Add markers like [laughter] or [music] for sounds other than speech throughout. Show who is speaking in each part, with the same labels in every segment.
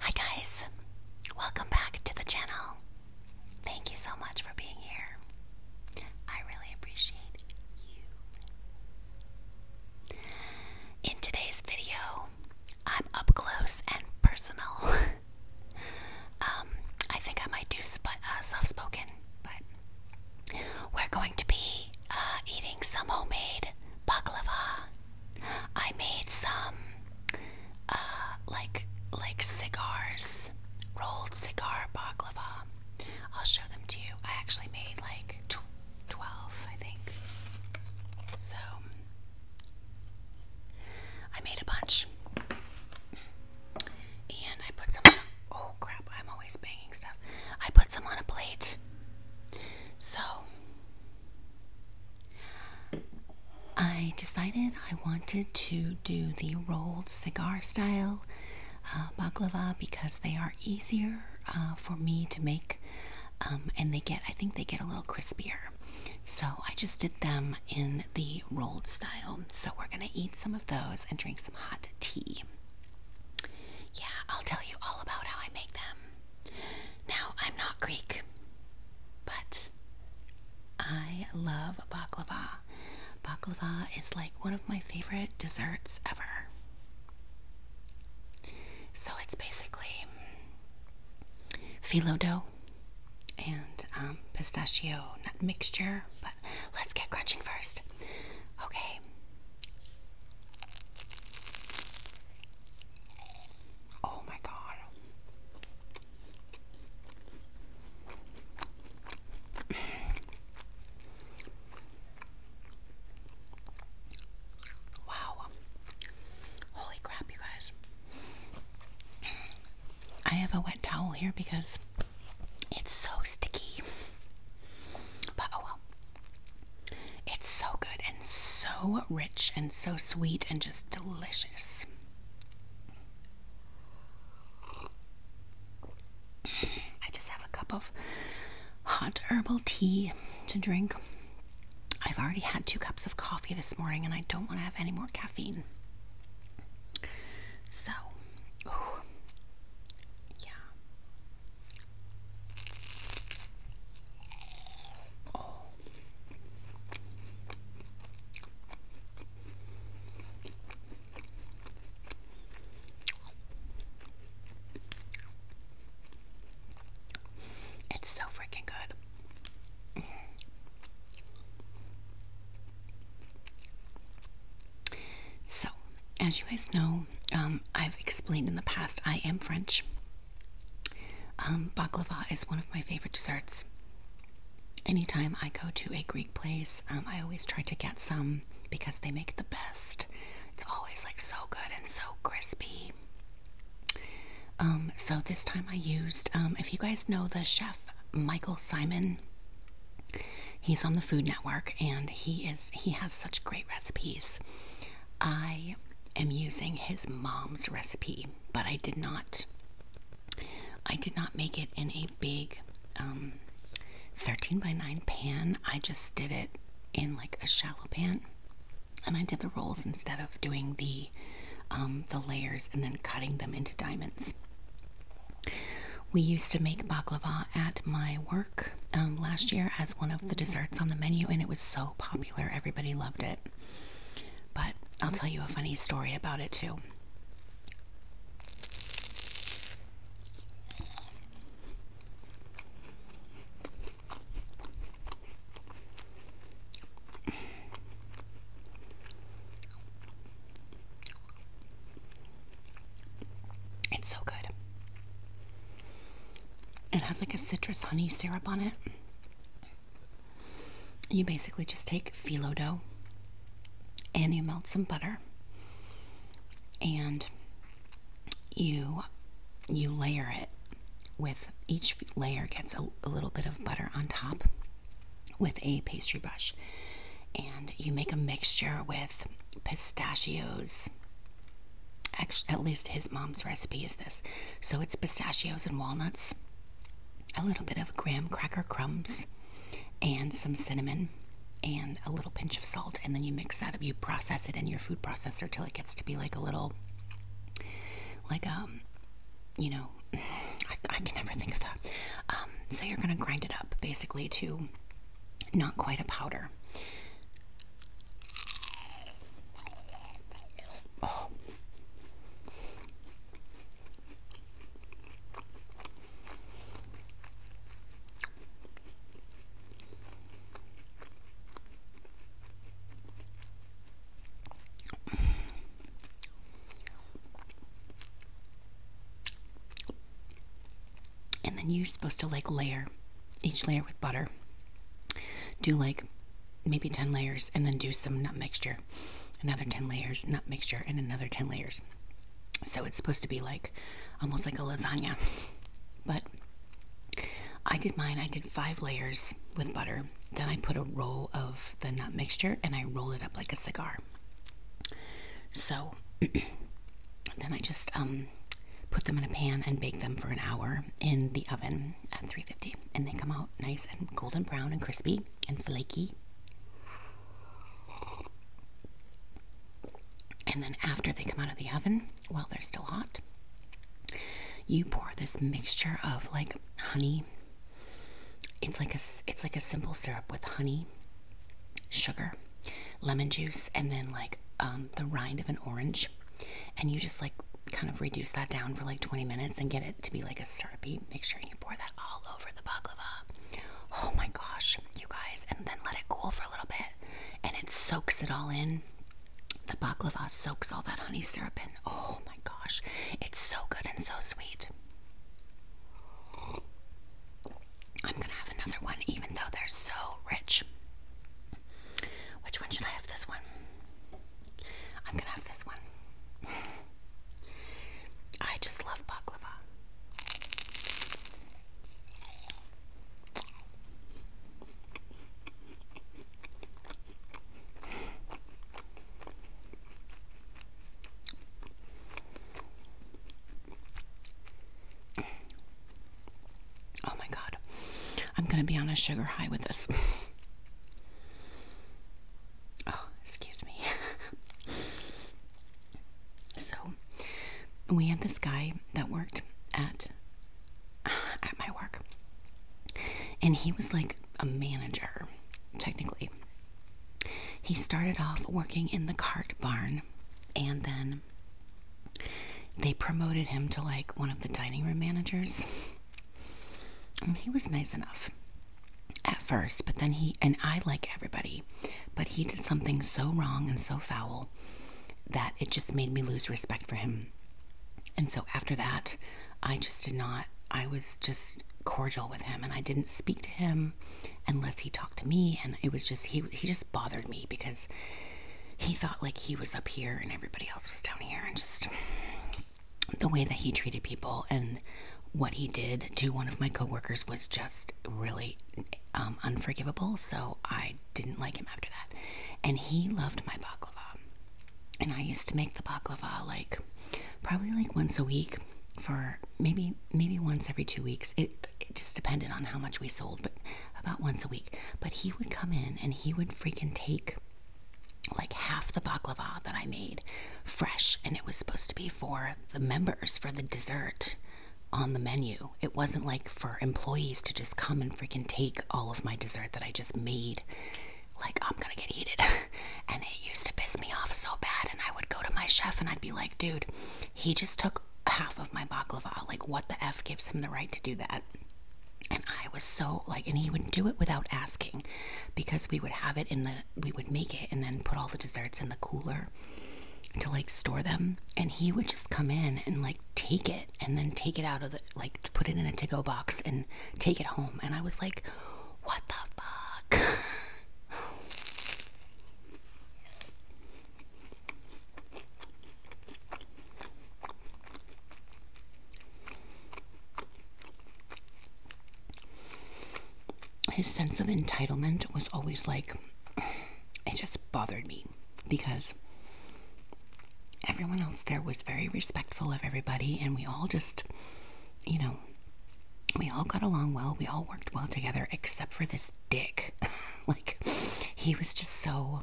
Speaker 1: Hi guys, welcome back to the channel. Thank you so much for being here. I really appreciate you. In today's video, I'm up close and personal. [laughs] um, I think I might do uh, soft spoken, but we're going to be uh, eating some homemade baklava I made some uh like like cigars, rolled cigar baklava. I'll show them to you. I actually made like 12, I think. So I made a bunch. And I put some on a, oh crap, I'm always banging stuff. I put some on a plate. So I decided I wanted to do the rolled cigar style uh, baklava because they are easier uh, for me to make um, and they get, I think they get a little crispier. So I just did them in the rolled style. So we're going to eat some of those and drink some hot tea. Yeah, I'll tell you all about how I make them. Now, I'm not Greek, but I love baklava. Baklava is like one of my favorite desserts ever. So it's basically phyllo dough and um, pistachio nut mixture, but let's get crunching first. Okay. Oh my god. wow. Holy crap, you guys. I have a wet towel here because it's so sticky. But oh well. It's so good and so rich and so sweet and just delicious. I just have a cup of hot herbal tea to drink. I've already had two cups of coffee this morning and I don't want to have any more caffeine. So, yeah. Oh. It's so freaking good. so, as you guys know, um, I've explained in the past, I am French. Um, baklava is one of my favorite desserts. Anytime I go to a Greek place, um, I always try to get some because they make the best. It's always like so good and so crispy. Um, so this time I used, um, if you guys know the chef Michael Simon, he's on the Food Network and he is he has such great recipes. I am using his mom's recipe, but I did not. I did not make it in a big um, 13 by 9 pan. I just did it in like a shallow pan, and I did the rolls instead of doing the um, the layers and then cutting them into diamonds. We used to make baklava at my work um, last year as one of the desserts on the menu, and it was so popular. Everybody loved it. But I'll tell you a funny story about it too. It's so good. It has like a citrus honey syrup on it. You basically just take phyllo dough and you melt some butter and you you layer it with each layer gets a, a little bit of butter on top with a pastry brush and you make a mixture with pistachios at least his mom's recipe is this. So it's pistachios and walnuts, a little bit of graham cracker crumbs, and some cinnamon, and a little pinch of salt. And then you mix that up, you process it in your food processor till it gets to be like a little, like, um, you know, [sighs] I, can never think of that. Um, so you're going to grind it up basically to not quite a powder. Oh. And then you're supposed to like layer each layer with butter. Do like maybe 10 layers and then do some nut mixture another 10 layers nut mixture and another 10 layers so it's supposed to be like almost like a lasagna but I did mine I did five layers with butter then I put a roll of the nut mixture and I rolled it up like a cigar so [clears throat] then I just um, put them in a pan and bake them for an hour in the oven at 350 and they come out nice and golden brown and crispy and flaky. And then after they come out of the oven, while they're still hot, you pour this mixture of like honey. It's like a it's like a simple syrup with honey, sugar, lemon juice, and then like um, the rind of an orange, and you just like kind of reduce that down for like 20 minutes and get it to be like a syrupy. Make sure you pour that all over the baklava. Oh my gosh, you guys, and then let it cool for a little bit and it soaks it all in. The baklava soaks all that honey syrup in. Oh my gosh, it's so good and so sweet. I'm gonna have another one, even though they're so rich. Which one should I have? This one. I'm gonna have this one. I just love baklava. Oh my god. I'm going to be on a sugar high with this. [laughs] [sighs] oh, excuse me. [laughs] so we had this guy that worked at [sighs] at my work. And he was like a manager, technically. He started off working in the cart barn and then they promoted him to like one of the dining room managers. [laughs] he was nice enough at first, but then he, and I like everybody, but he did something so wrong and so foul that it just made me lose respect for him. And so after that, I just did not, I was just cordial with him and I didn't speak to him unless he talked to me. And it was just, he, he just bothered me because he thought like he was up here and everybody else was down here and just the way that he treated people and what he did to one of my coworkers was just really um, unforgivable. So I didn't like him after that. And he loved my baklava. And I used to make the baklava like probably like once a week for maybe maybe once every two weeks. It, it just depended on how much we sold, but about once a week. But he would come in and he would freaking take like half the baklava that I made fresh, and it was supposed to be for the members for the dessert on the menu. It wasn't like for employees to just come and freaking take all of my dessert that I just made. Like, I'm gonna get heated. [laughs] and it used to piss me off so bad. And I would go to my chef and I'd be like, dude, he just took half of my baklava. Like, what the F gives him the right to do that? And I was so like, and he would do it without asking because we would have it in the, we would make it and then put all the desserts in the cooler to like store them. And he would just come in and like take it and then take it out of the, like put it in a tico box and take it home. And I was like, what the fuck? [laughs] His sense of entitlement was always like, [sighs] it just bothered me because everyone else there was very respectful of everybody, and we all just, you know, we all got along well, we all worked well together, except for this dick. [laughs] like, he was just so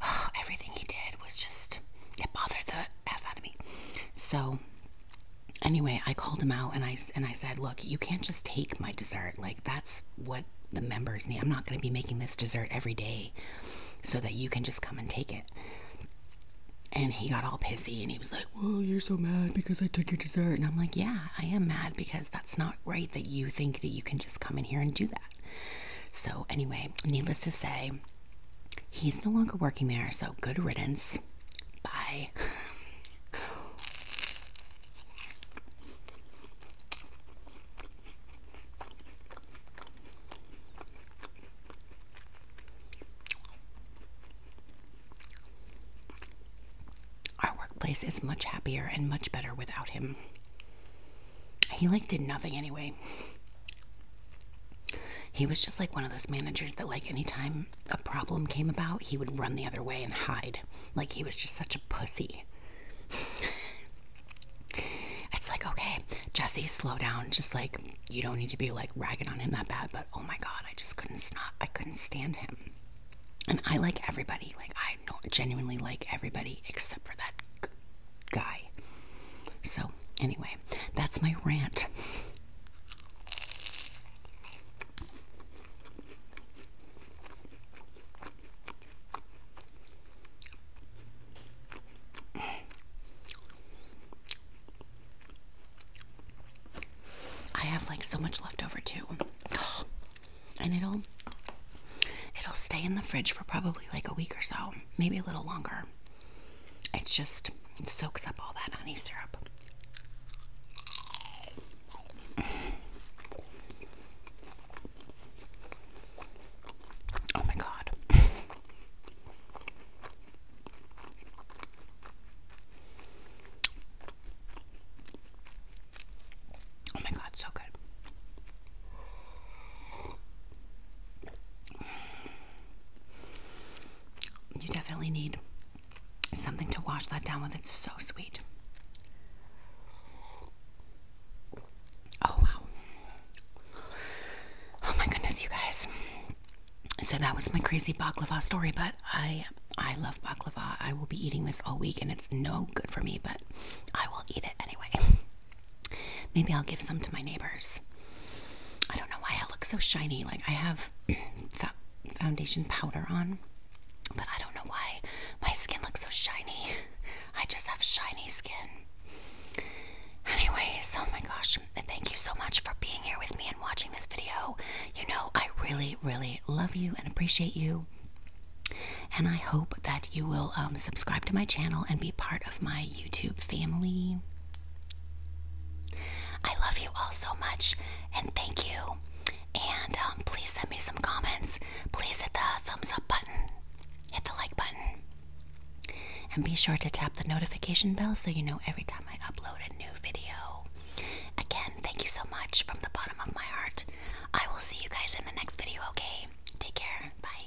Speaker 1: [sighs] everything he did was just, it bothered the F out of me. So anyway, I called him out and I, and I said, look, you can't just take my dessert. Like that's what the members need. I'm not going to be making this dessert every day so that you can just come and take it. And he got all pissy and he was like, Well, you're so mad because I took your dessert. And I'm like, Yeah, I am mad because that's not right that you think that you can just come in here and do that. So, anyway, needless to say, he's no longer working there. So, good riddance. Bye. Our workplace is much happier and much better without him he like did nothing anyway. He was just like one of those managers that like anytime a problem came about, he would run the other way and hide. Like he was just such a pussy. it's like, okay, Jesse, slow down. Just like you don't need to be like ragging on him that bad, but oh my god, I just couldn't stop. I couldn't stand him. And I like everybody. Like I genuinely like everybody except for that guy. So, anyway, that's my rant. I have like so much left too. [gasps] And it'll it'll stay in the fridge for probably like a week or so, maybe a little longer it just soaks up all that honey syrup. Oh my god. Oh my god, so good. You definitely need something to wash that down with. It's so sweet. Oh, wow. Oh, my goodness, you guys. So that was my crazy baklava story, but I I love baklava. I will be eating this all week and it's no good for me, but I will eat it anyway. [laughs] Maybe I'll give some to my neighbors. I don't know why I look so shiny. Like I have [clears throat] foundation powder on, but I don't know why my skin looks so shiny. [laughs] I just have shiny skin. Anyways, so oh my gosh, thank you so much for being here with me and watching this video. You know, I really, really love you and appreciate you. And I hope that you will um, subscribe to my channel and be part of my YouTube family. I love you all so much and thank you. And um, please send me some comments. Please hit the thumbs up button, hit the like button, and be sure to tap the notification bell so you know every time I upload a new video. Again, thank you so much from the bottom of my heart. I will see you guys in the next video, okay? Take care. Bye.